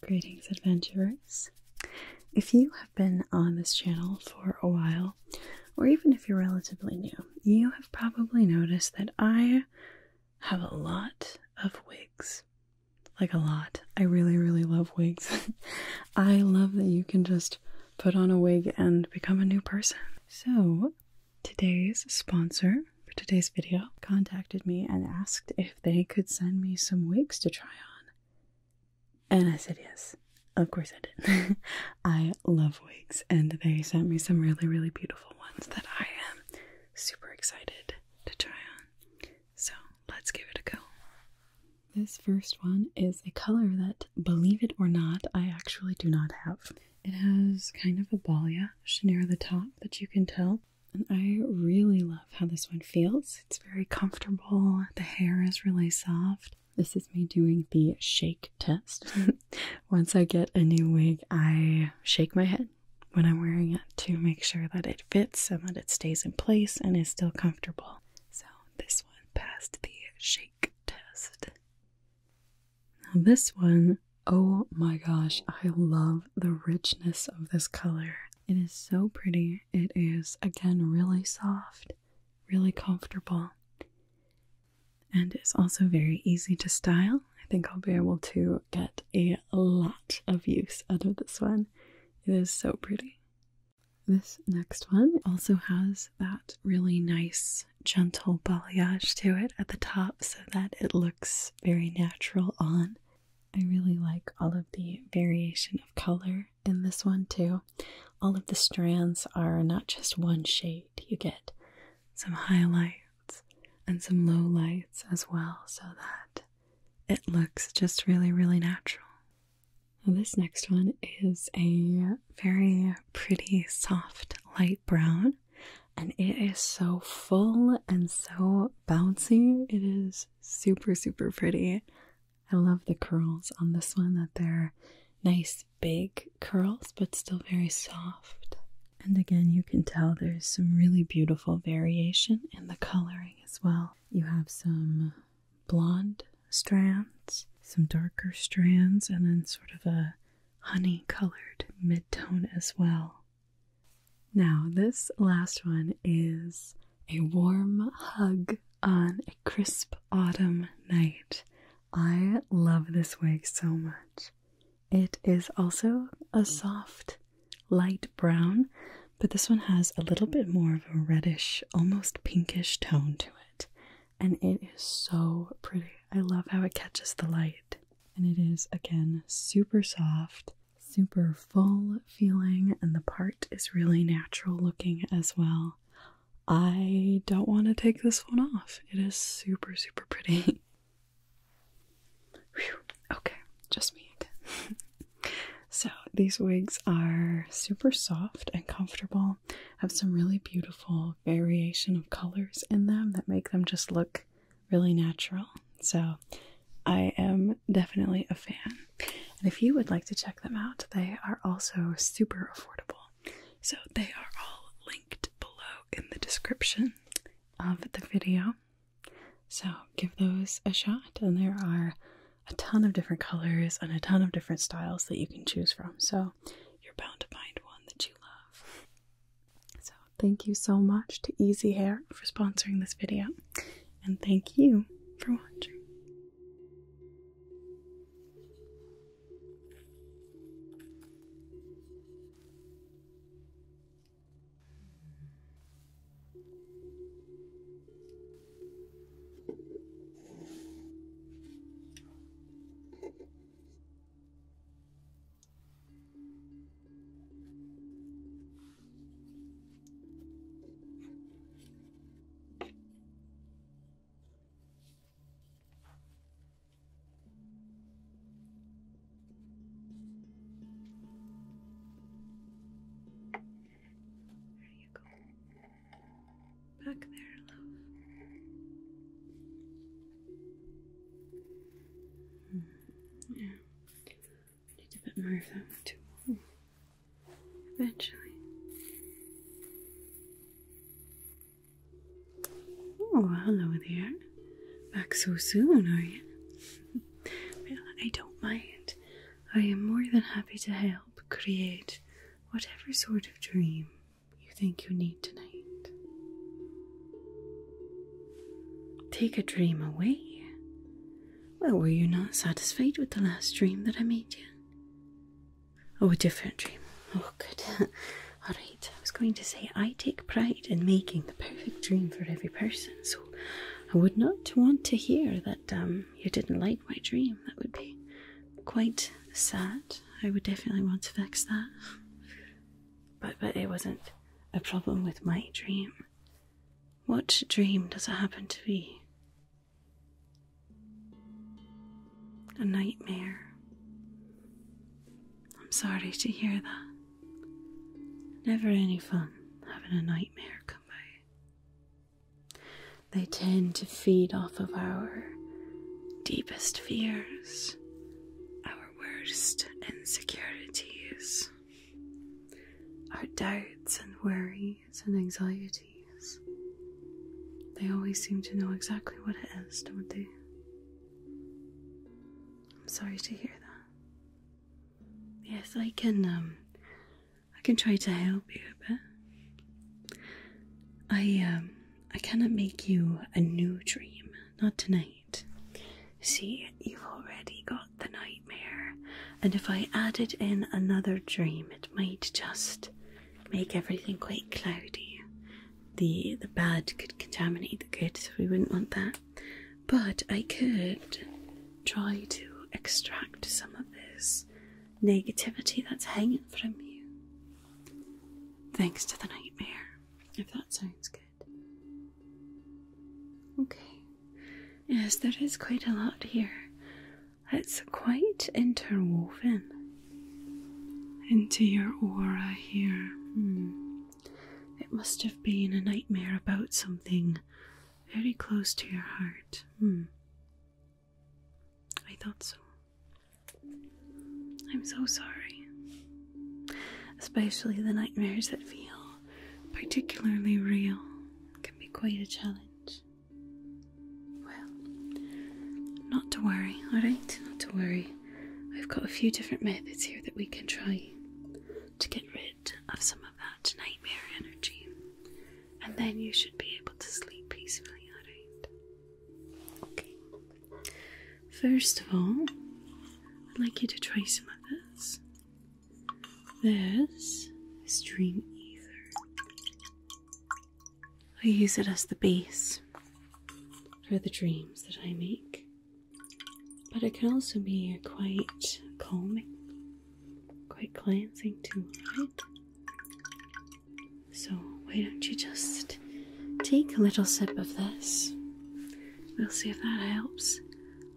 Greetings, adventurers. If you have been on this channel for a while, or even if you're relatively new, you have probably noticed that I have a lot of wigs. Like a lot. I really, really love wigs. I love that you can just put on a wig and become a new person. So, today's sponsor for today's video contacted me and asked if they could send me some wigs to try on. And I said yes. Of course I did. I love wigs and they sent me some really, really beautiful ones that I am super excited to try on. So let's give it a go. This first one is a color that, believe it or not, I actually do not have. It has kind of a ballia chenier at the top that you can tell and I really love how this one feels. It's very comfortable. The hair is really soft. This is me doing the shake test. Once I get a new wig, I shake my head when I'm wearing it to make sure that it fits and that it stays in place and is still comfortable. So this one passed the shake test. Now, this one Oh my gosh, I love the richness of this color. It is so pretty. It is, again, really soft, really comfortable, and it's also very easy to style. I think I'll be able to get a lot of use out of this one. It is so pretty. This next one also has that really nice, gentle balayage to it at the top so that it looks very natural on. I really like all of the variation of color in this one too. All of the strands are not just one shade, you get some highlights and some low lights as well, so that it looks just really, really natural. this next one is a very pretty soft light brown and it is so full and so bouncy. It is super, super pretty. I love the curls on this one, that they're nice big curls, but still very soft. And again, you can tell there's some really beautiful variation in the coloring as well. You have some blonde strands, some darker strands, and then sort of a honey colored mid tone as well. Now, this last one is a warm hug on a crisp autumn night. I love this wig so much. It is also a soft, light brown, but this one has a little bit more of a reddish, almost pinkish tone to it. And it is so pretty. I love how it catches the light. And it is again super soft, super full feeling, and the part is really natural looking as well. I don't want to take this one off. It is super, super pretty. Okay, just me again. so, these wigs are super soft and comfortable, have some really beautiful variation of colors in them that make them just look really natural. So I am definitely a fan. And if you would like to check them out, they are also super affordable. So they are all linked below in the description of the video. So give those a shot, and there are a ton of different colors and a ton of different styles that you can choose from. So you're bound to find one that you love. So, thank you so much to Easy Hair for sponsoring this video, and thank you for watching. There you go. Back there, love. Mm. Yeah. Need a bit more of that too. Eventually. Oh, hello there. Back so soon, are you? well, I don't mind. I am more than happy to help create whatever sort of dream you think you need tonight. Take a dream away? Well, were you not satisfied with the last dream that I made you? Oh, a different dream. Oh, good. All right, I was going to say I take pride in making the perfect dream for every person, so I would not want to hear that um, you didn't like my dream. That would be quite sad. I would definitely want to fix that. But, but it wasn't a problem with my dream. What dream does it happen to be? A nightmare. I'm sorry to hear that. Never any fun having a nightmare come by. They tend to feed off of our deepest fears, our worst insecurities, our doubts and worries and anxieties. They always seem to know exactly what it is, don't they? I'm sorry to hear that. Yes, I can um, I can try to help you but I um, I cannot make you a new dream, not tonight. See, you've already got the nightmare, and if I added in another dream, it might just make everything quite cloudy. The the bad could contaminate the good, so we wouldn't want that. But I could try to extract some of this negativity that's hanging from you. Thanks to the nightmare if that sounds good. Okay. Yes, there is quite a lot here. It's quite interwoven into your aura here. Hmm. It must have been a nightmare about something very close to your heart. Hmm. I thought so. I'm so sorry. Especially the nightmares that feel particularly real can be quite a challenge. Well, not to worry, alright? Not to worry. I've got a few different methods here that we can try to get rid of some of that nightmare energy. And then you should be able to sleep peacefully, alright? First of all, I'd like you to try some of this. This is dream ether. I use it as the base for the dreams that I make, but it can also be quite calming, quite cleansing too, right? So, why don't you just take a little sip of this? We'll see if that helps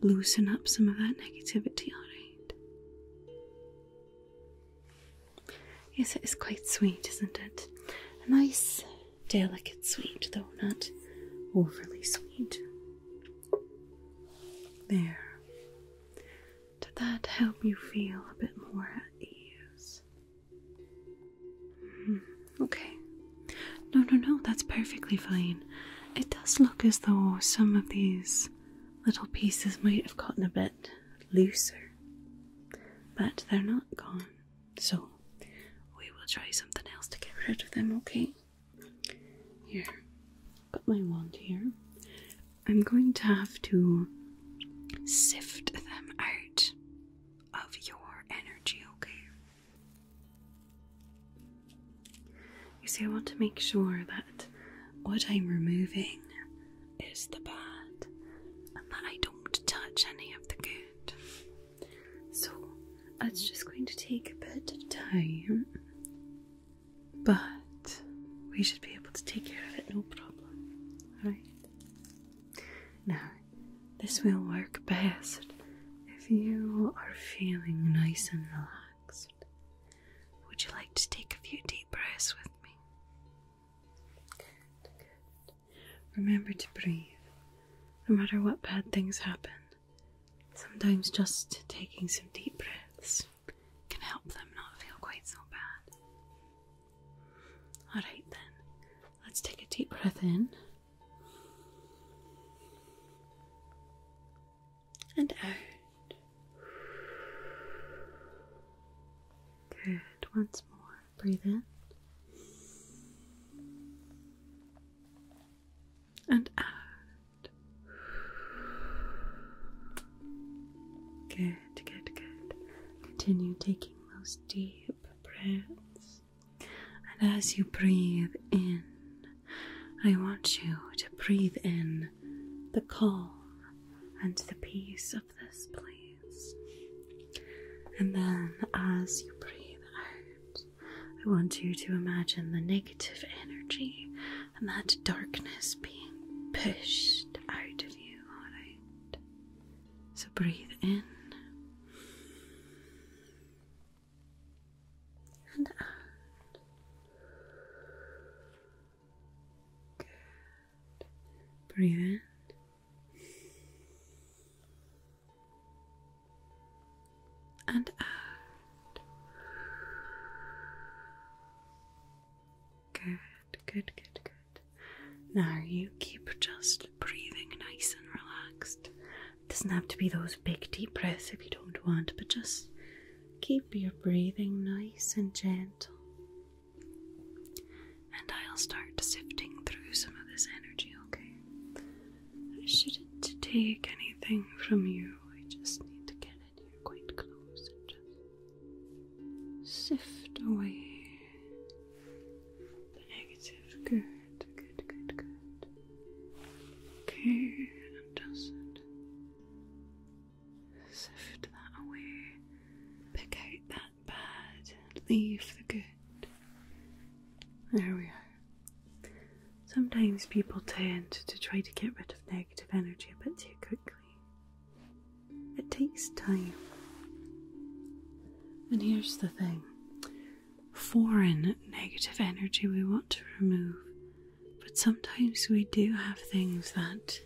loosen up some of that negativity, alright? Yes, it is quite sweet, isn't it? A nice, delicate sweet, though not overly sweet. There. Did that help you feel a bit more at ease? Mm-hmm. Okay. No, no, no, that's perfectly fine. It does look as though some of these little pieces might have gotten a bit looser, but they're not gone. So we will try something else to get rid of them, okay? Here, got my wand here. I'm going to have to sift them out of your energy, okay? You see, I want to make sure that what I'm removing is the bad and that I don't touch any of the good. So it's just going to take a bit of time, but we should be able to take care of it no problem. Alright? Now, this will work best if you are feeling nice and relaxed. Would you like to take a few deep breaths with me? Remember to breathe. No matter what bad things happen, sometimes just taking some deep breaths can help them not feel quite so bad. Alright then, let's take a deep breath in and out. Good, once more. Breathe in and out. Good, good, good. Continue taking those deep breaths. And as you breathe in, I want you to breathe in the calm and the peace of this place. And then as you breathe out, I want you to imagine the negative energy and that darkness being pushed out of you, alright? So breathe in and out. Good. Breathe in. And out. Good, good, good, good. Now you keep just breathing nice and relaxed. It doesn't have to be those big deep breaths if you don't want, but just keep your breathing nice and gentle. And I'll start sifting through some of this energy, okay? I shouldn't take anything from you. I just need to get in here quite close just sift away the negative. Good, good, good, good. Okay, and doesn't sift that away. Pick out that bad, leave the good. There we are. Sometimes people tend to try to get rid of negative energy a bit too quickly. It takes time. And here's the thing foreign negative energy we want to remove, but sometimes we do have things that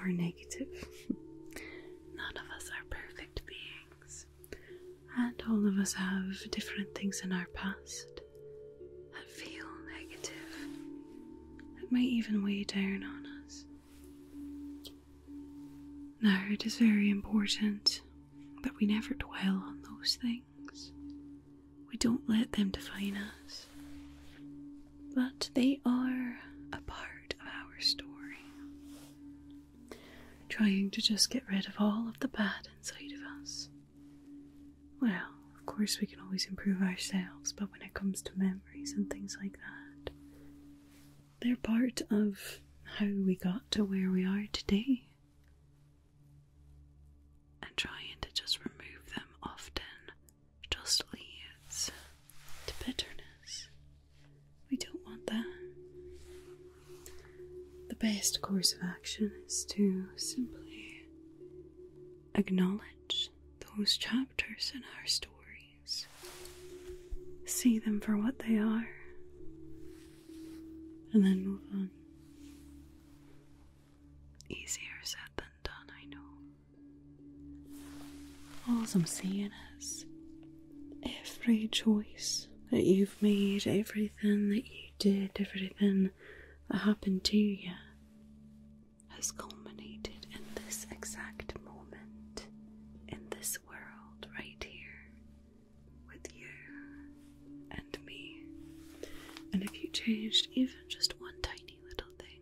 are negative. None of us are perfect beings, and all of us have different things in our past that feel negative, that may even weigh down on us. Now, it is very important that we never dwell on those things. We don't let them define us. But they are a part of our story. Trying to just get rid of all of the bad inside of us. Well, of course, we can always improve ourselves, but when it comes to memories and things like that, they're part of how we got to where we are today. And trying to just remove them often just leads to bitterness. We don't want that. The best course of action is to simply acknowledge those chapters in our story See them for what they are. And then move on. Easier said than done, I know. All I'm saying is every choice that you've made, everything that you did, everything that happened to you has culminated in this exact moment, in this world right here, with you and me. And if you changed even just one tiny little thing,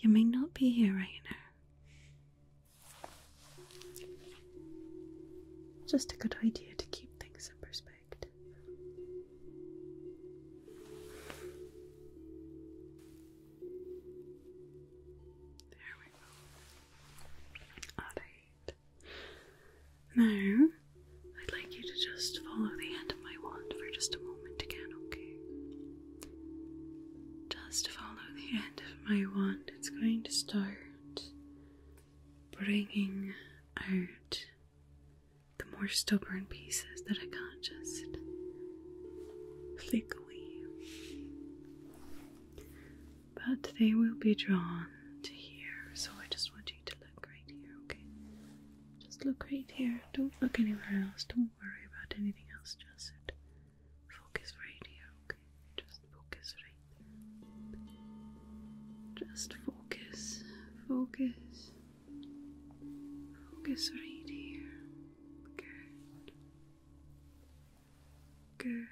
you may not be here right now. Just a good idea to keep things in perspective. There we go. Alright. Now, I'd like you to just follow the end of my wand for just a moment again, okay? Just follow the end of my wand. It's going to start bringing out the more stubborn pieces that I can't just flick away. But they will be drawn to here, so I just want you to look right here, okay? Just look right here. Don't look anywhere else. Don't worry about anything else. Just focus right here, okay? Just focus right there. Just focus, focus, Focus right here. Good. Good.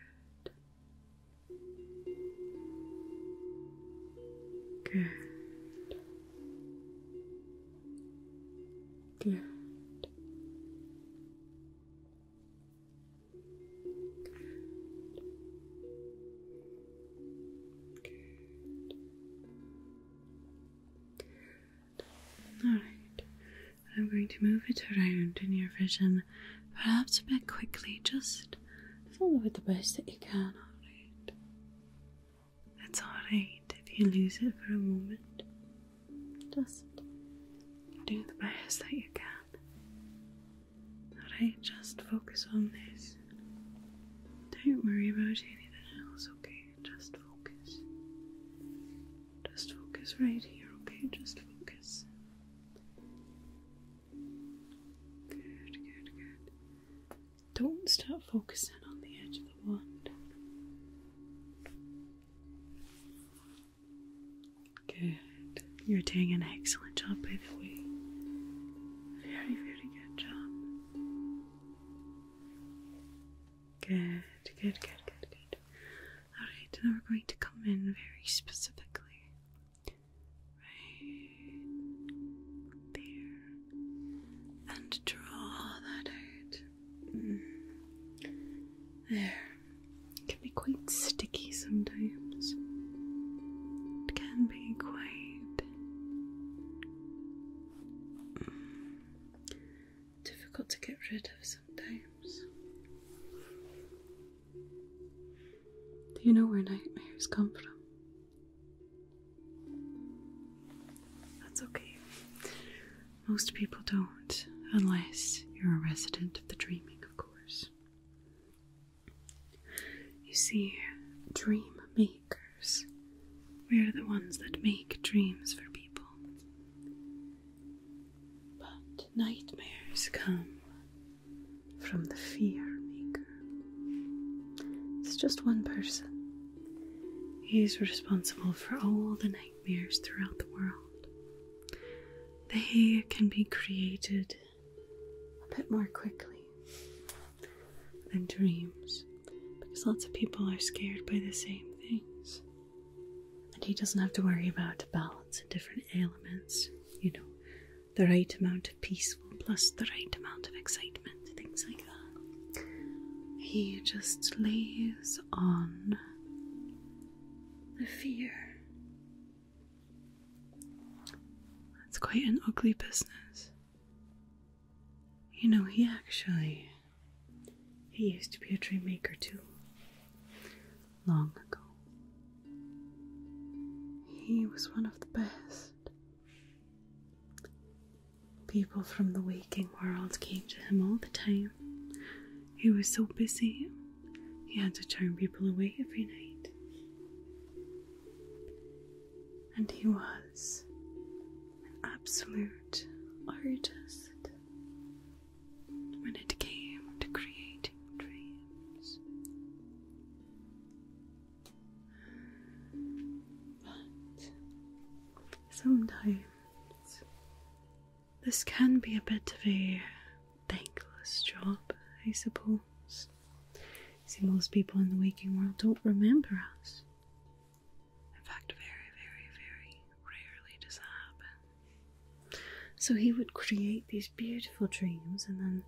Good. Good. Good. Alright, I'm going to move it around in your vision, perhaps a bit quickly, just follow it the best that you can, alright? That's alright if you lose it for a moment. Just do the best that you can. Alright, just focus on this. Don't worry about anything else, okay? Just focus. Just focus right here, okay? Just focus. Good, good, good. Don't start focusing on the edge of the wand. Good. You're doing an excellent job, by the way. Very, very good job. Good, good, good, good, good. Alright, now we're going to come in very specifically. Right there. And draw that out. Mm. There. It can be quite sticky sometimes. It can be quite. Mm, difficult to get rid of sometimes. Do you know where nightmares come from? That's okay. Most people don't, unless you're a resident of the dreaming, of course. You see, dream me. We're the ones that make dreams for people. But nightmares come from the fear maker. It's just one person. He's responsible for all the nightmares throughout the world. They can be created a bit more quickly and dreams because lots of people are scared by the same things. And he doesn't have to worry about balance and different elements, you know, the right amount of peaceful plus the right amount of excitement, things like that. He just lays on the fear. That's quite an ugly business. You know, he actually he used to be a dream maker too. Long ago. He was one of the best. People from the waking world came to him all the time. He was so busy, he had to turn people away every night. And he was an absolute artist when it came to creating dreams. But sometimes this can be a bit of a thankless job, I suppose. See, most people in the waking world don't remember us. In fact, very, very, very rarely does that happen. So he would create these beautiful dreams and then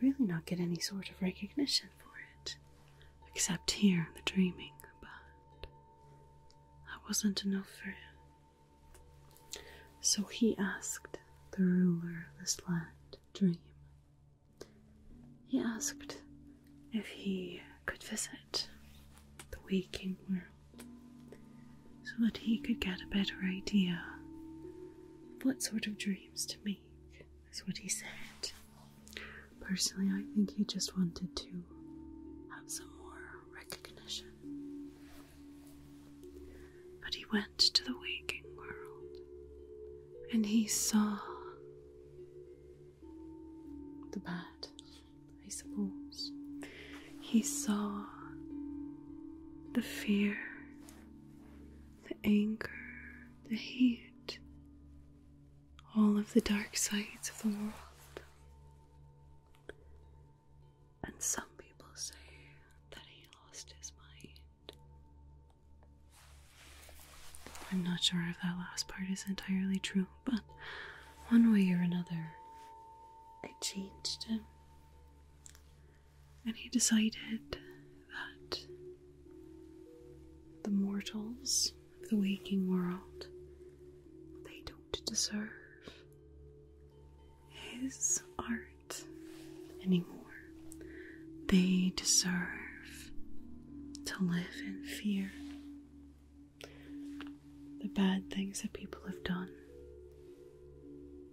really not get any sort of recognition for it. Except here in the dreaming, but that wasn't enough for him. So he asked the ruler of this land to dream he asked if he could visit the waking world so that he could get a better idea of what sort of dreams to make, is what he said. Personally, I think he just wanted to have some more recognition. But he went to the waking world and he saw the bad, I suppose. He saw the fear, the anger, the hate, all of the dark sides of the world. And some people say that he lost his mind. I'm not sure if that last part is entirely true, but one way or another, I changed him. And he decided that the mortals of the waking world, they don't deserve his art anymore. They deserve to live in fear. The bad things that people have done,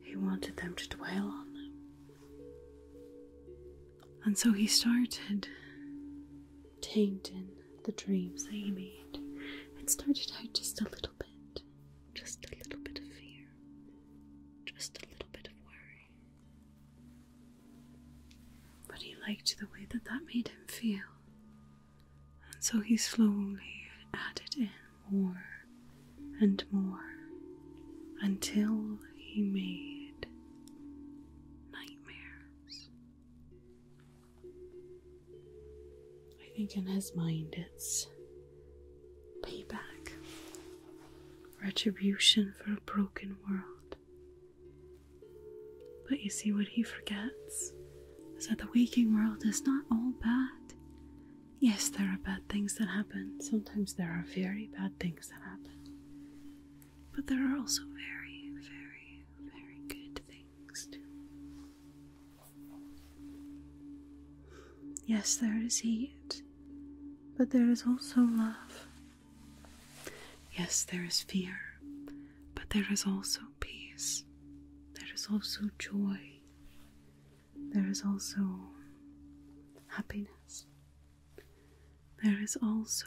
he wanted them to dwell on them. And so he started tainting the dreams that he made. It started out just a little bit, just a little bit of fear, just a little bit of worry. But he liked the way that that made him feel, and so he slowly added in more and more until he made nightmares. I think in his mind it's payback retribution for a broken world. But you see, what he forgets is that the waking world is not all bad. Yes, there are bad things that happen. Sometimes there are very bad things that happen. But there are also very, very, very good things too. Yes, there is hate, but there is also love Yes, there is fear, but there is also peace. There is also joy. There is also happiness. There is also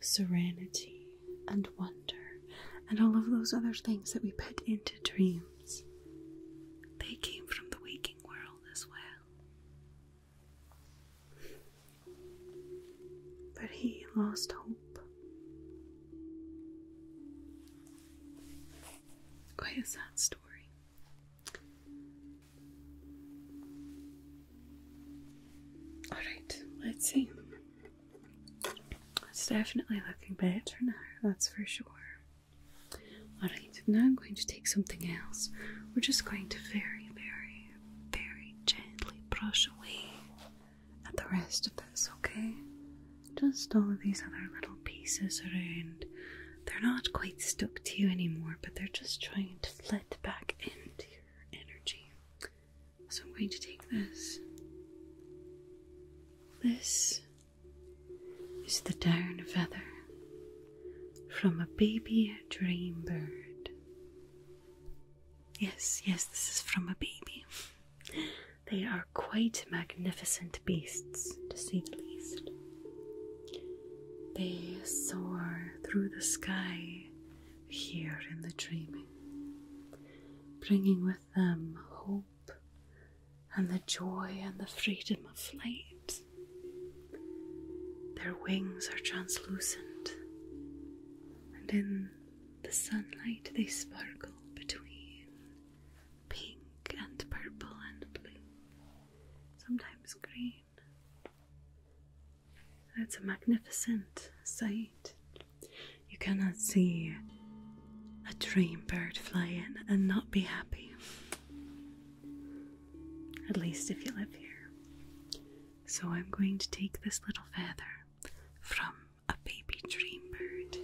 serenity and wonder and all of those other things that we put into dreams. They came from the waking world as well. But he lost hope. Quite a sad story. Alright, let's see. It's definitely looking better now, that's for sure. Alright, now I'm going to take something else. We're just going to very, very, very gently brush away at the rest of this, okay? Just all of these other little pieces around. They're not quite stuck to you anymore, but they're just trying to flit back into your energy. So I'm going to take this. This is the down feather from a baby dream bird. Yes, yes, this is from a baby. They are quite magnificent beasts, to say the least. They soar through the sky here in the dreaming, bringing with them hope and the joy and the freedom of flight. Their wings are translucent, and in the sunlight they sparkle between pink and purple and blue, sometimes green. It's a magnificent sight. You cannot see a dream bird fly in and not be happy at least if you live here. So I'm going to take this little feather from a baby dream bird.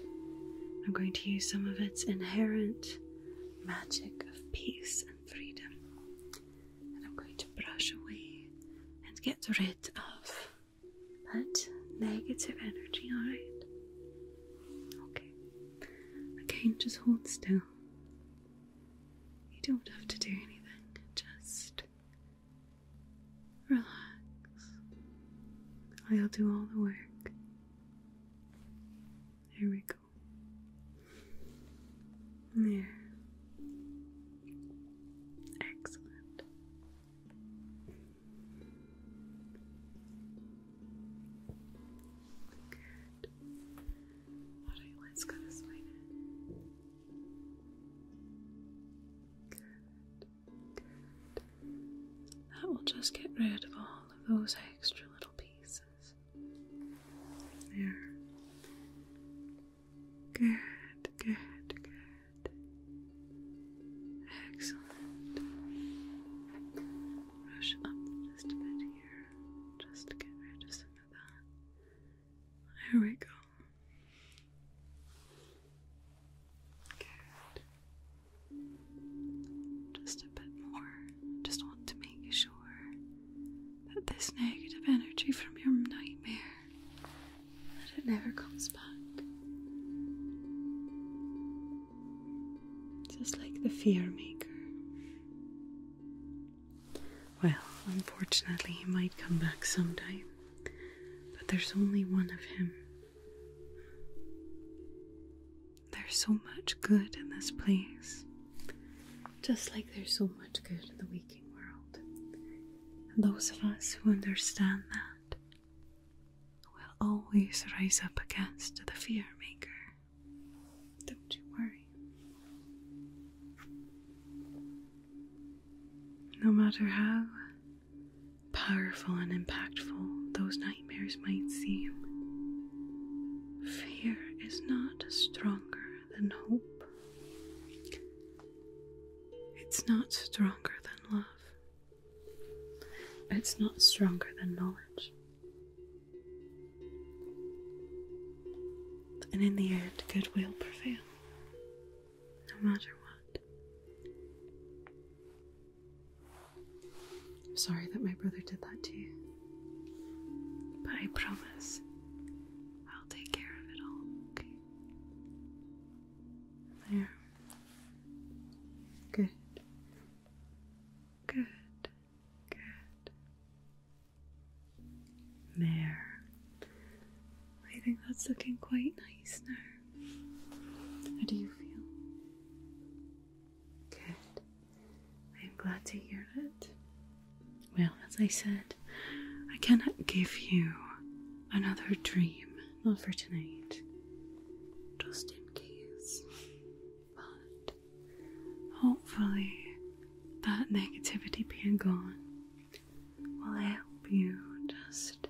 I'm going to use some of its inherent magic of peace and freedom, and I'm going to brush away and get rid of that negative energy, alright? Okay. Again, just hold still. You don't have to do anything, just relax. I'll do all the work. There we go. There. Excellent let's go this way Good. That will just get rid of all of those extra little pieces. There. Good, good, good. Excellent brush up just a bit here, just to get rid of some of that. There we go. Good. Just a bit more. Just want to make sure that this negative energy from your nightmare that it never comes back. Just like the fear maker. Well, unfortunately, he might come back sometime, but there's only one of him. There's so much good in this place, just like there's so much good in the waking world. And those of us who understand that will always rise up against the fear maker. Don't you worry. No matter how powerful and impactful those nightmares might seem, fear is not stronger than hope. It's not stronger than love. It's not stronger than knowledge. And in the end, good will prevail, no matter what. I'm sorry that my brother did that to you, but I promise I'll take care of it all, There. Good. Good, good. There. I think that's looking quite nice now. How do you feel? Good. I'm glad to hear it. Well, as I said, I cannot give you another dream, not for tonight. Just in case. But hopefully, that negativity being gone will help you just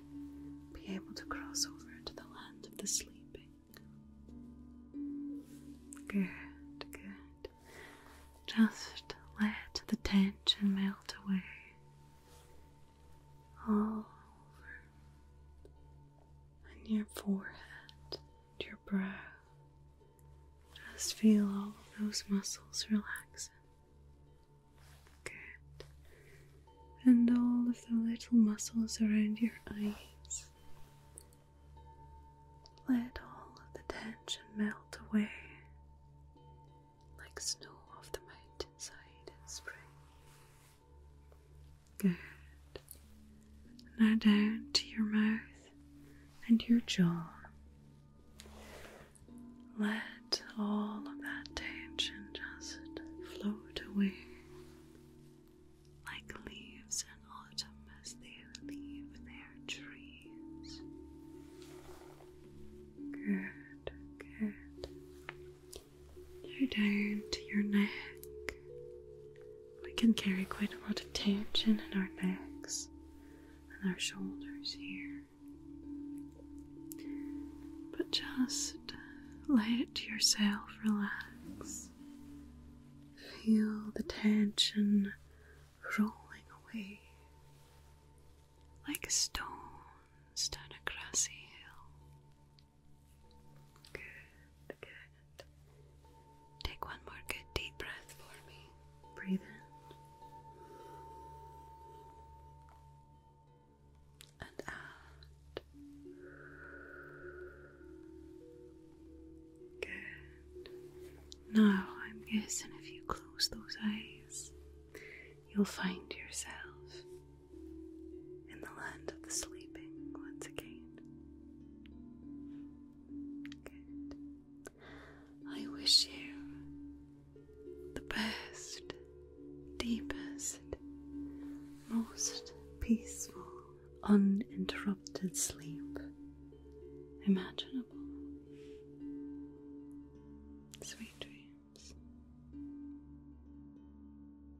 be able to cross over to the land of the sleeping. Good, good. Just let the tension melt away all over and your forehead and your brow. Just feel all of those muscles relaxing. Good. And all of the little muscles around your eyes. Let all of the tension melt away like snow off the mountainside in spring. Good. Now down to your mouth and your jaw. Let all of that tension just float away like leaves in autumn as they leave their trees. Good, good. Now down to your neck. We can carry quite a lot of tension in our necks and our shoulders here. But just let yourself relax. Feel the tension rolling away like stones down a grassy hill. Good, Take one more good deep breath for me. Breathe in and out. Good. Now, I'm guessing if you close those eyes, you'll find yourself in the land of the sleeping once again. Good. I wish you the best, deepest, most peaceful, uninterrupted sleep imaginable. Sweet dreams.